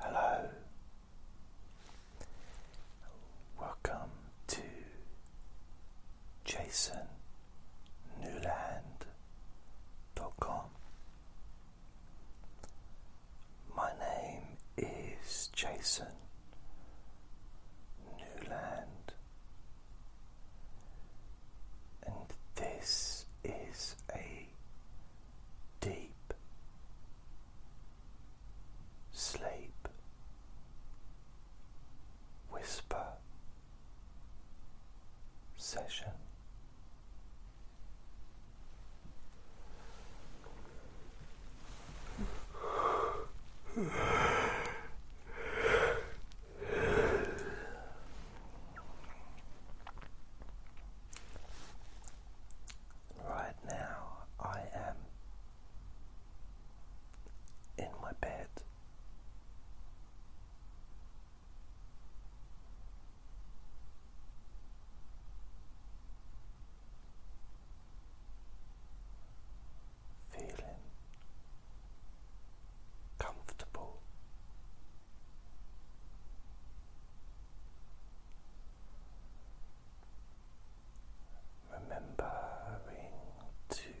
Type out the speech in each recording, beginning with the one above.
Hello, welcome to JasonNewland.com. My name is Jason Newland. And this is a deep sleep whisper session. Right now, I am in my bed feeling comfortable. Remembering to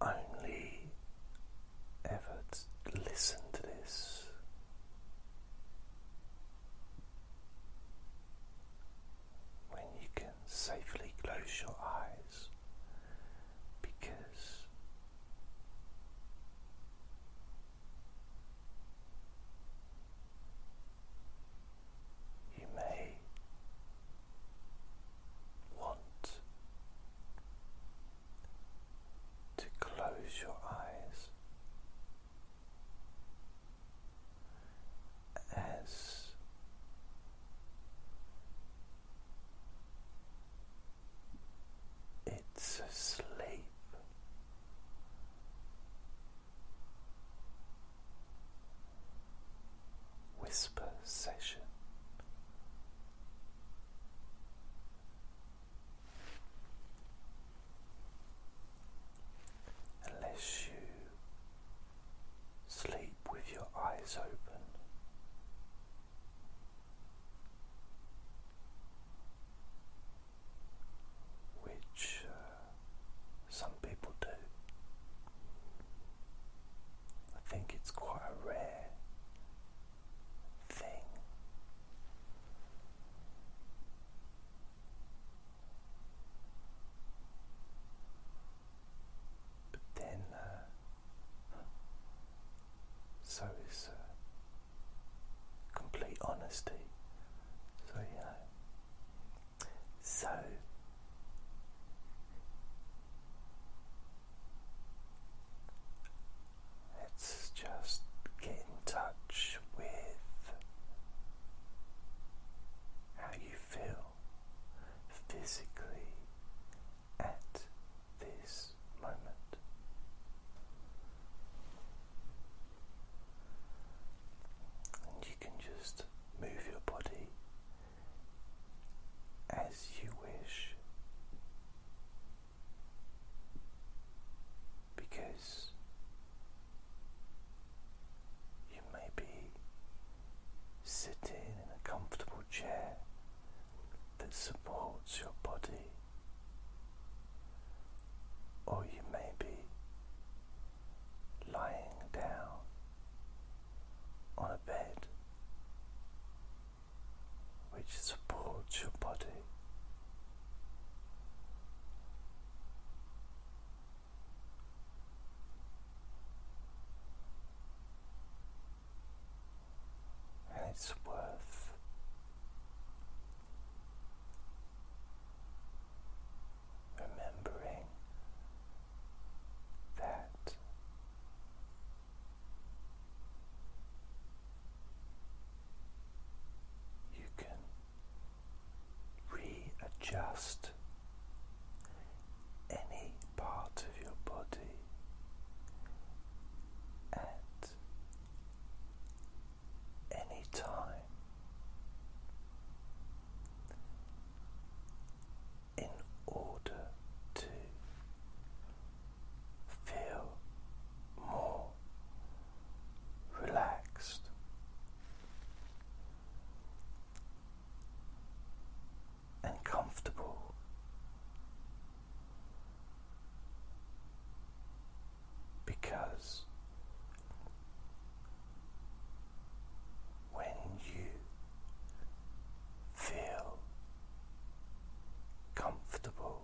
only ever listen to this when you can safely close your eyes because you may want to close your eyes as it's asleep. Whisper session. Unless you sleep with your eyes open. Which uh, some people do. I think it's quite a rare thing. But then, uh, hmm, so is uh, complete honesty. So, yeah. so let's just get in touch with how you feel physically at this moment. And you can just move your body as you wish because you may be sitting in a comfortable chair that supports your body, or you may be lying down on a bed which supports your body and it's worth remembering that. You can readjust any part of your body at any time in order to feel more relaxed and comfortable. Because when you feel comfortable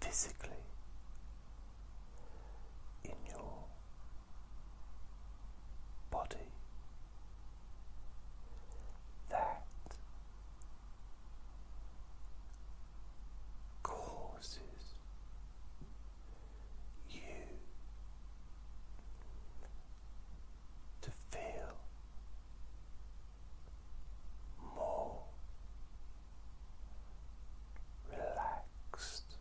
physically in your body. That causes you to feel more relaxed next.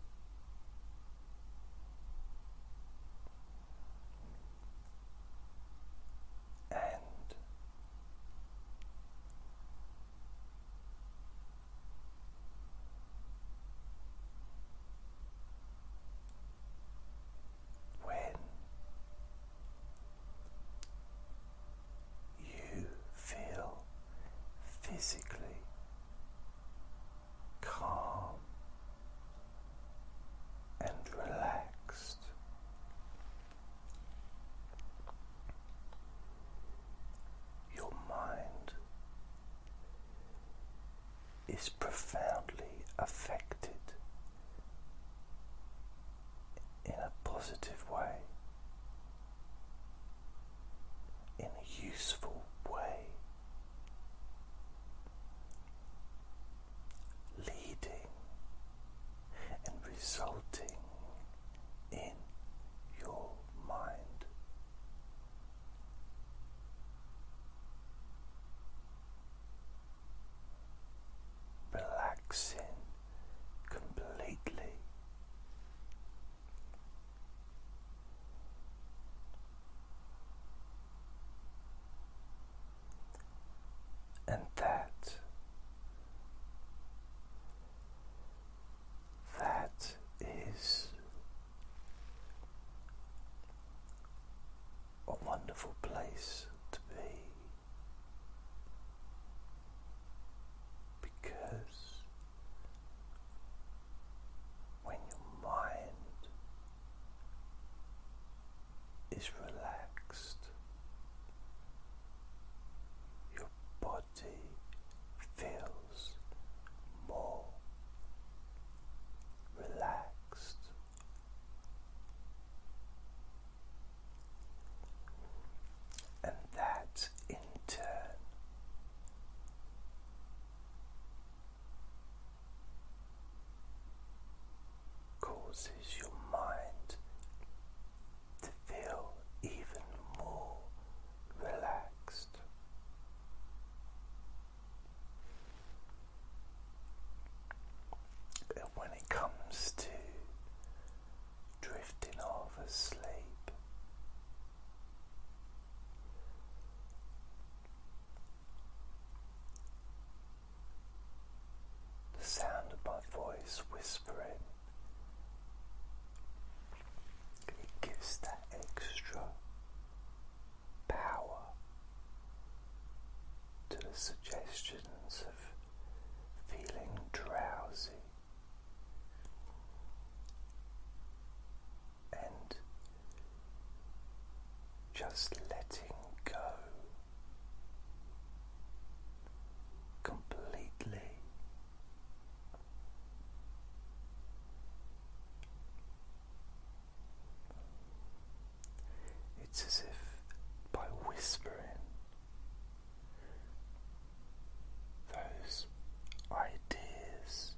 And when you feel physically calm and relaxed. Your mind is profoundly affected in a positive way in a useful way, leading and resulting in your mind. Relaxing completely and that, that is a wonderful place to be because when your mind is relaxed, your body feels more relaxed and that in turn causes your mind to feel even more relaxed. when it comes to drifting off asleep, the sound of my voice whispering, it gives that extra power to the suggestions of feeling drowsy and just letting go completely. It's as if by whispering those ideas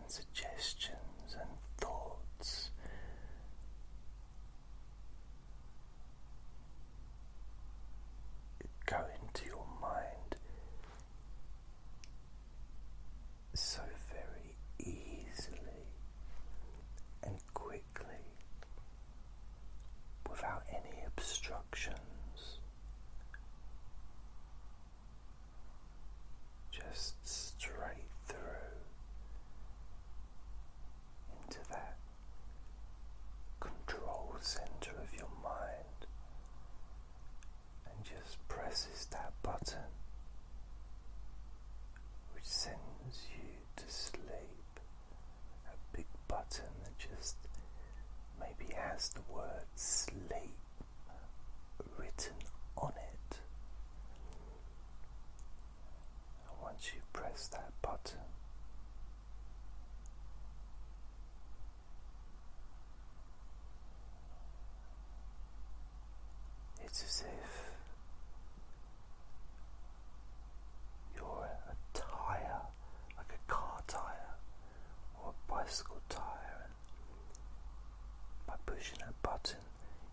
and suggestions and thoughts. Go into your mind so very easily and quickly without any obstruction just straight through into that control center of your mind and just presses that button which sends you to sleep at big button that just maybe has the word sleep written on it. once you press that button, it's as if your entire like a car tire or a bicycle tire, and by pushing that button,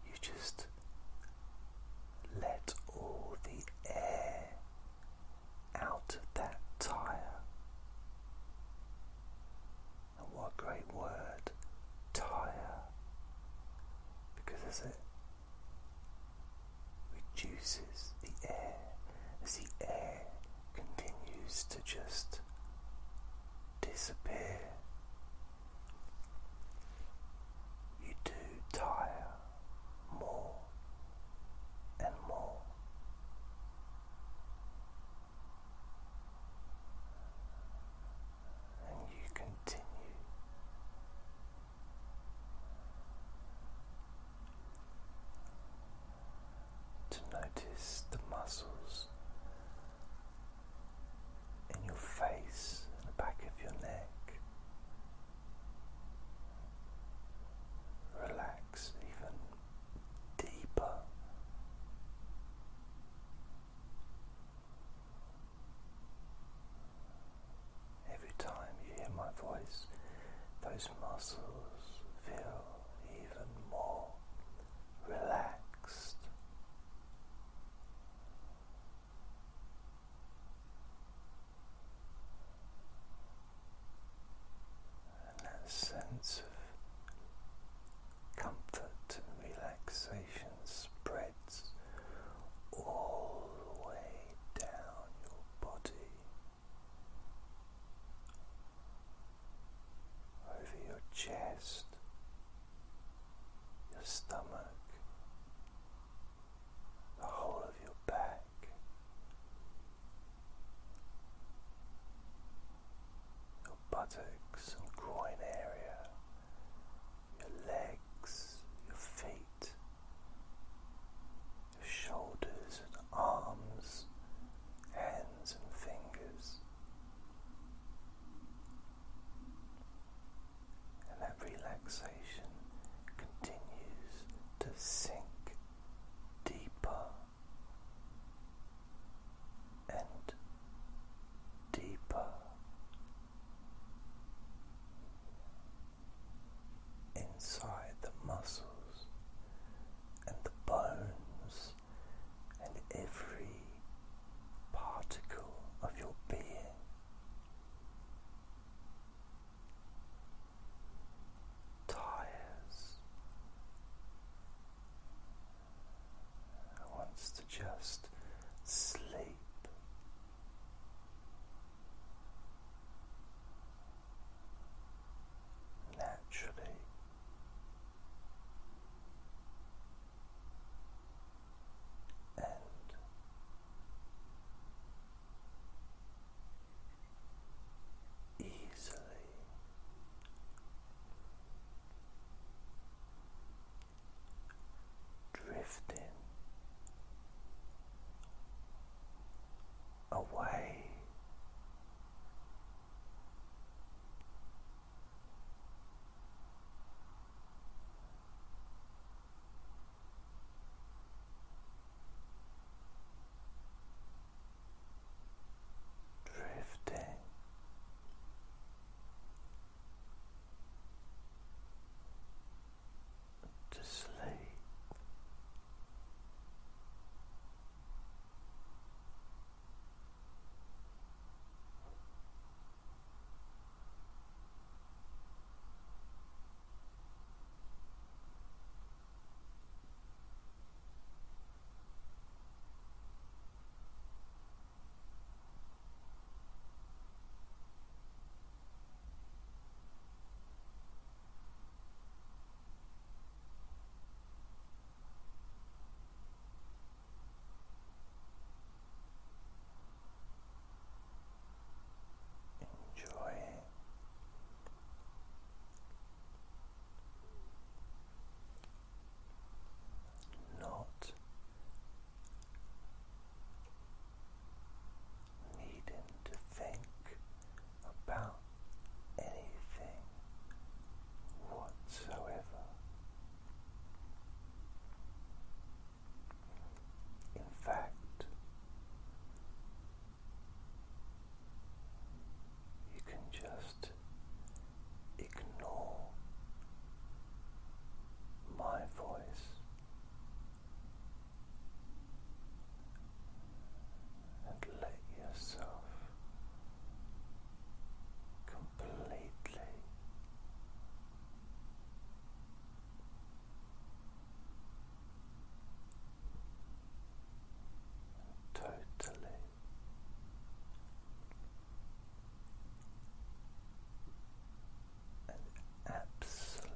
you just let all the air out of that tire. And what a great word, tire, because as it reduces the air, as the air continues to just disappear. You do tire more and more. And you continue to notice the muscles in your face and the back of your neck. Relax even deeper. Every time you hear my voice, those muscles feel even more relaxed. And that sense of comfort and relaxation spreads all the way down your body over your chest, your stomach, the whole of your back. Your buttocks and groin area, your legs, your feet, shoulders and arms, hands and fingers. And that relaxation continues to sink deeper and deeper inside the muscles and the bones and every particle of your being. Tires. wants to just sleep naturally. And easily drifting away. Drifting to sleep. Enjoying not needing to think about anything whatsoever. In fact, you can just ignore my voice and let yourself completely. Totally and absolutely